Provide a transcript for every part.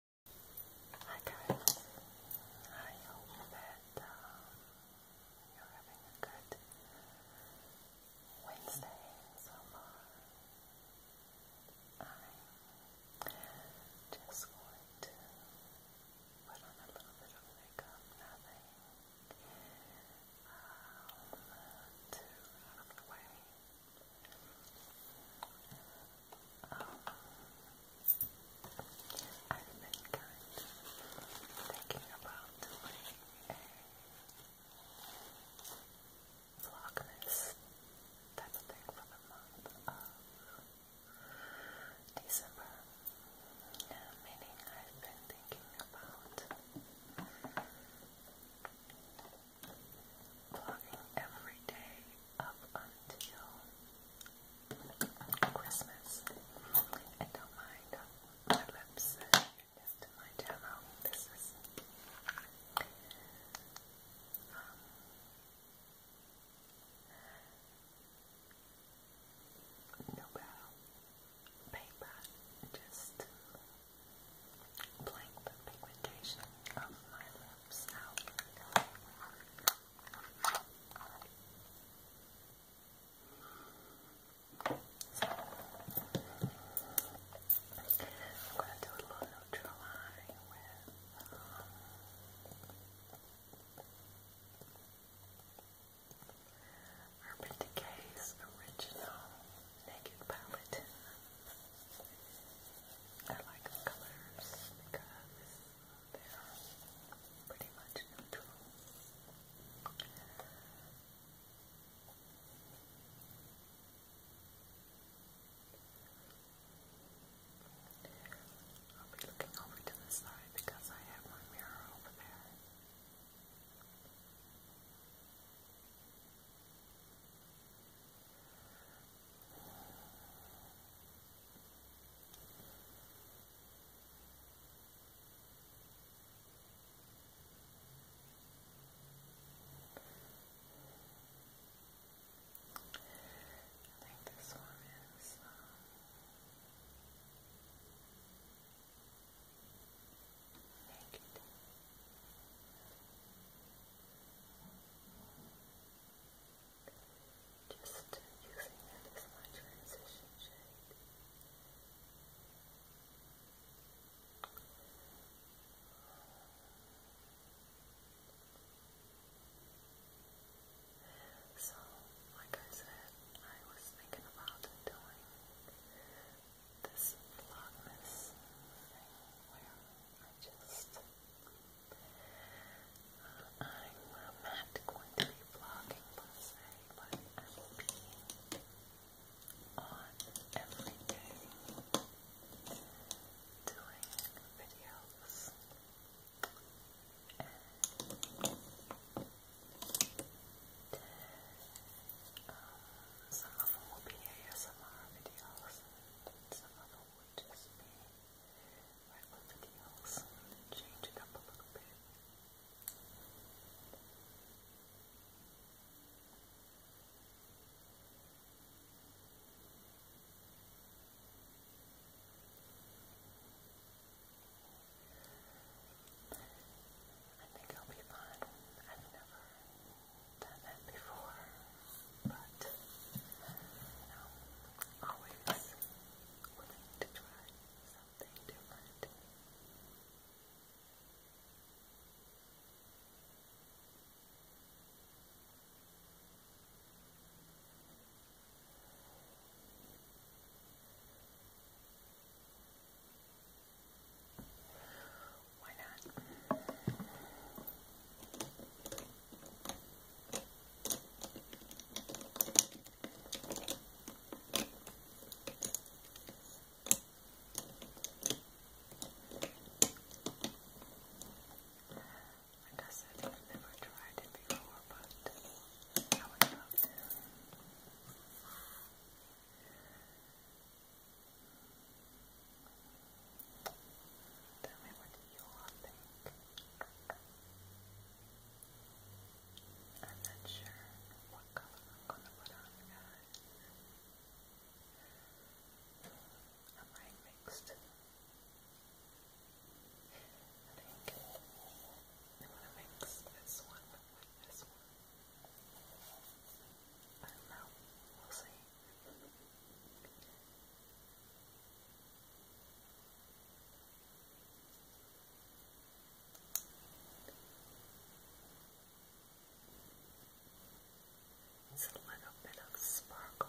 Hi guys, I hope that um, you're having a good Wednesday so far. I'm just going to put on a little bit of makeup, nothing um, too out of the way. Um, I've been kind of thinking about doing a vlogmas type of thing for the month of December. meaning I've been thinking about vlogging every day up until Christmas. And don't mind my lips next to my demo. This is um, no battle paper, just blank the pigmentation of my lips. I'm going to do a little neutral with uh, Urban Decay's original Naked Palette. I like the colors they're pretty much I'll be looking over to the side because I have my mirror over there. I think this one is um, naked. I Just using that as my transition So, like I said, I was thinking about doing this vlogmas thing where I just uh, I'm not going to be vlogging per se, but I will be on every day doing videos. And uh, some of them will be ASMR videos, and some of them will just be like everything else and change it up a little bit. I think I'll be fine. I've never done that before but you know, always willing to try something different. Why not? Like I said, I've never tried it before, but I would love to. Tell me what teal, I am not sure what color I'm going to put on, guys. I might I think I'm going to mix this one with this one. I don't know. We'll see. It's a little bit of sparkle.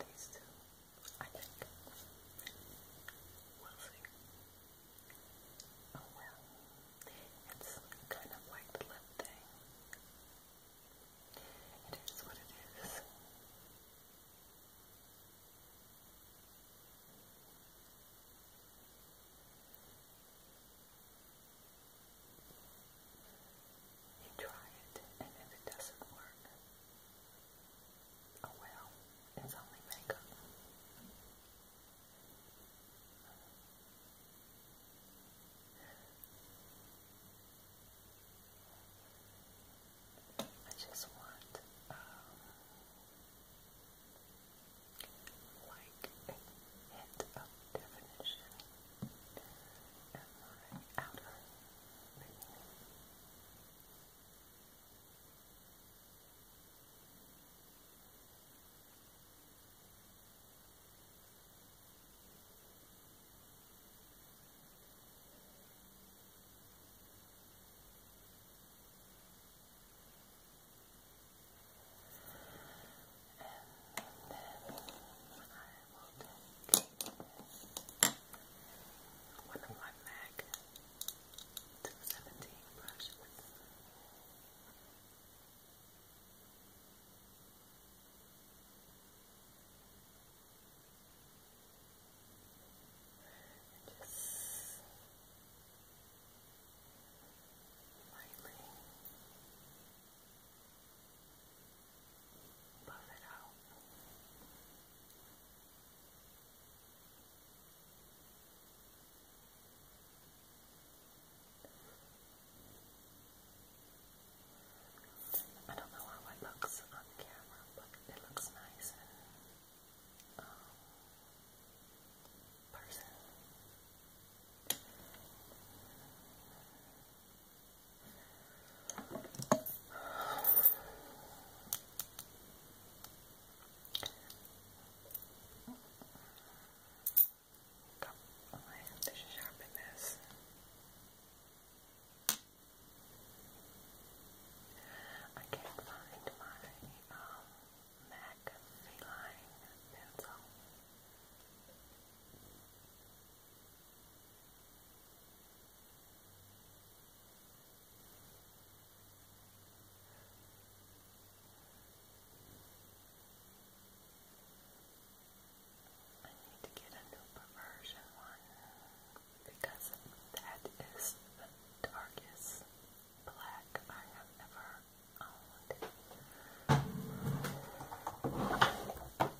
These two, I think. Oh, well. It's kind of like the lip thing. It is what it is. You try it, and if it doesn't work, oh well, it's only makeup. I just want um, light like a hint of definition and my outer meaning. Now, and then I will take my MAC 217 brushes. just lightly Puff it out. I don't know how it looks on camera, but it looks nice in um, person. Oh, I have to sharpen this. I can't find my um, Mac pencil. I need to get a new perversion one because that is the darkest black I have ever owned.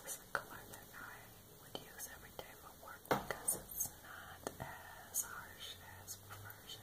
This is the color that I would use every day for work one because it's not as harsh as perversion.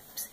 Oopsie.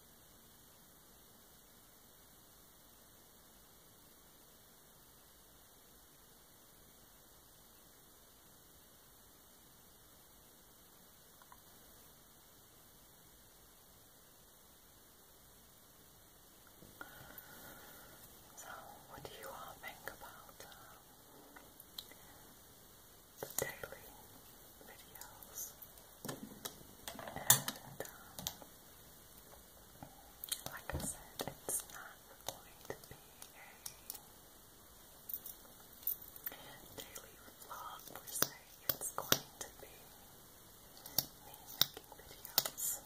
So, what do you all think about um, the daily videos? And, um, like I said, it's not going to be a daily vlog per it's going to be making videos.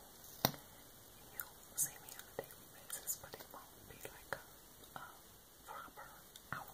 You'll see me on a daily basis, but it won't be like a proper hour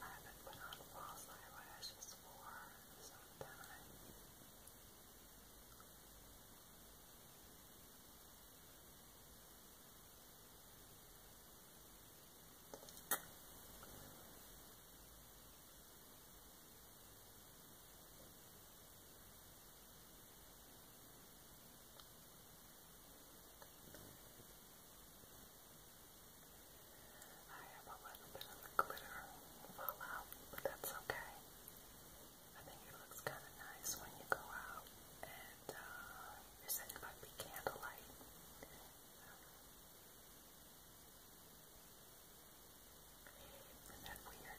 I haven't put on false eyelashes for some time. I I have a little bit of glitter fall out, but that's okay. I think it looks kind of nice when you go out and uh, you're candlelight. Isn't that weird?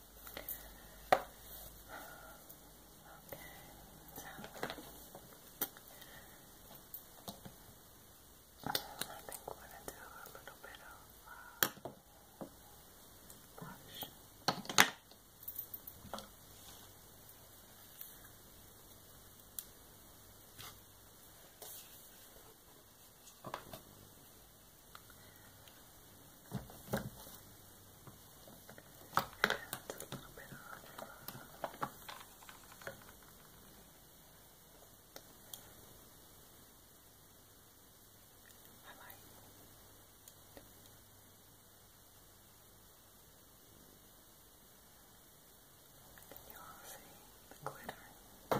so I think we're going to do a little bit of blush. That's a little bit off. I might. Can you all see the glitter? It's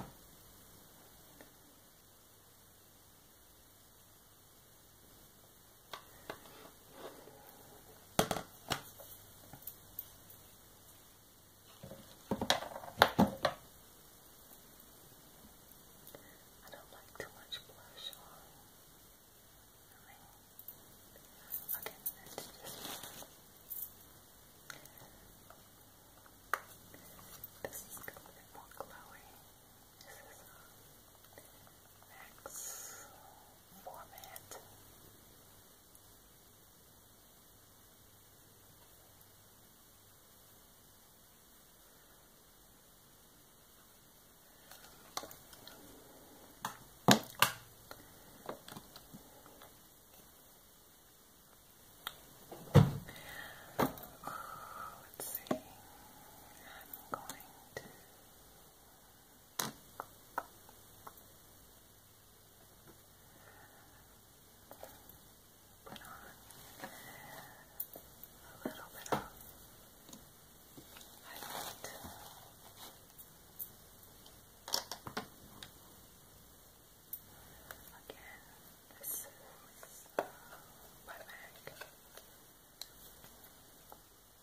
I don't like too much blush on. okay, this is going to be more glowy. This is a max format. Let's see. I'm going to Put on a little bit of highlight. Again, this is my bag.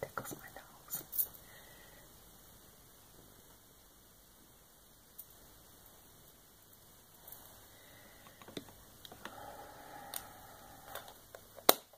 Tickles my nose.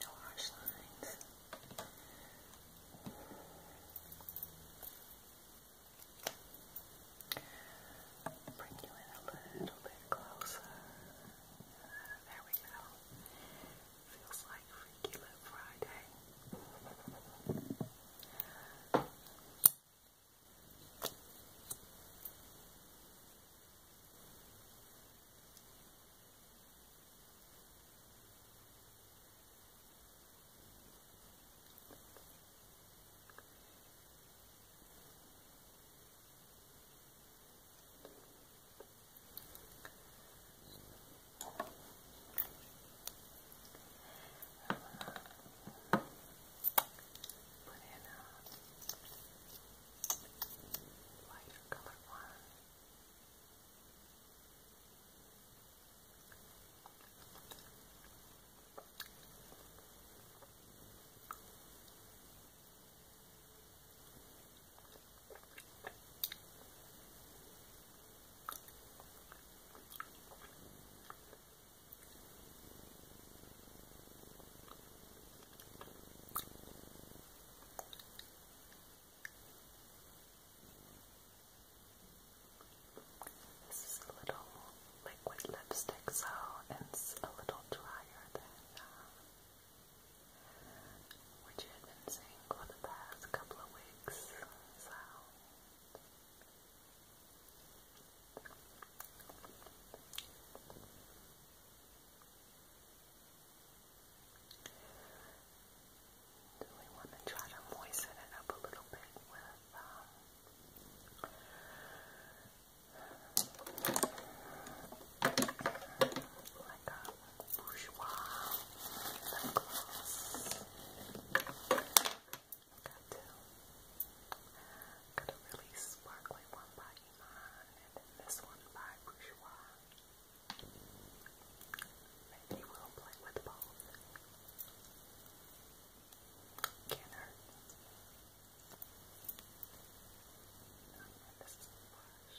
No harsh lines. Bring you in a little bit closer. There we go. Feels like Freaky Little Friday. Put in a lighter color one. Put this is a little liquid lipstick, so it's a little drier than uh, what you had been seeing for the past couple of weeks. Do we want to try to moisten it up a little bit with um, like a Bourjois lip gloss. Got two. Got a really sparkly one by Iman and then this one by Bourjois. Maybe we'll play with both. Can't hurt. And this is a brush.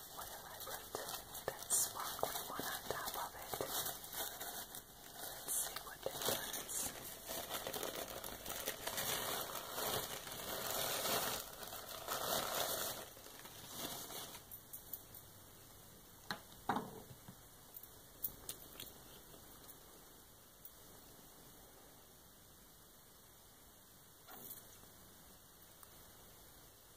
What am I putting that sparkling one on top of it? Let's see what that does. That is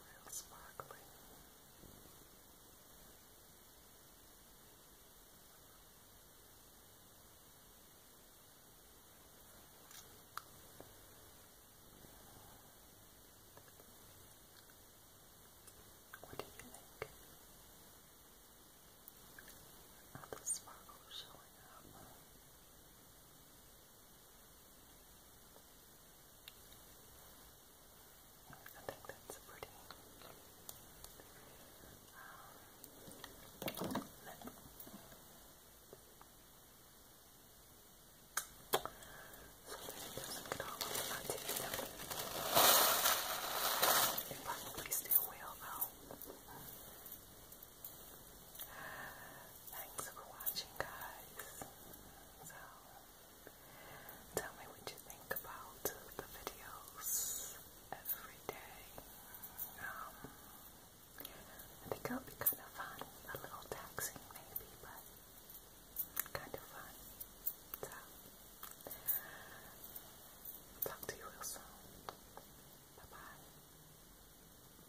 real sparkling. What do you think? Are the sparkles showing up? I think that's pretty. Um, so it doesn't get all over my teeth. It probably still will Thanks for watching, guys. So, tell me what you think about the videos every day. Um, I think be kind of fun, a little taxing maybe, but kind of fun. talk to you real soon. Bye bye.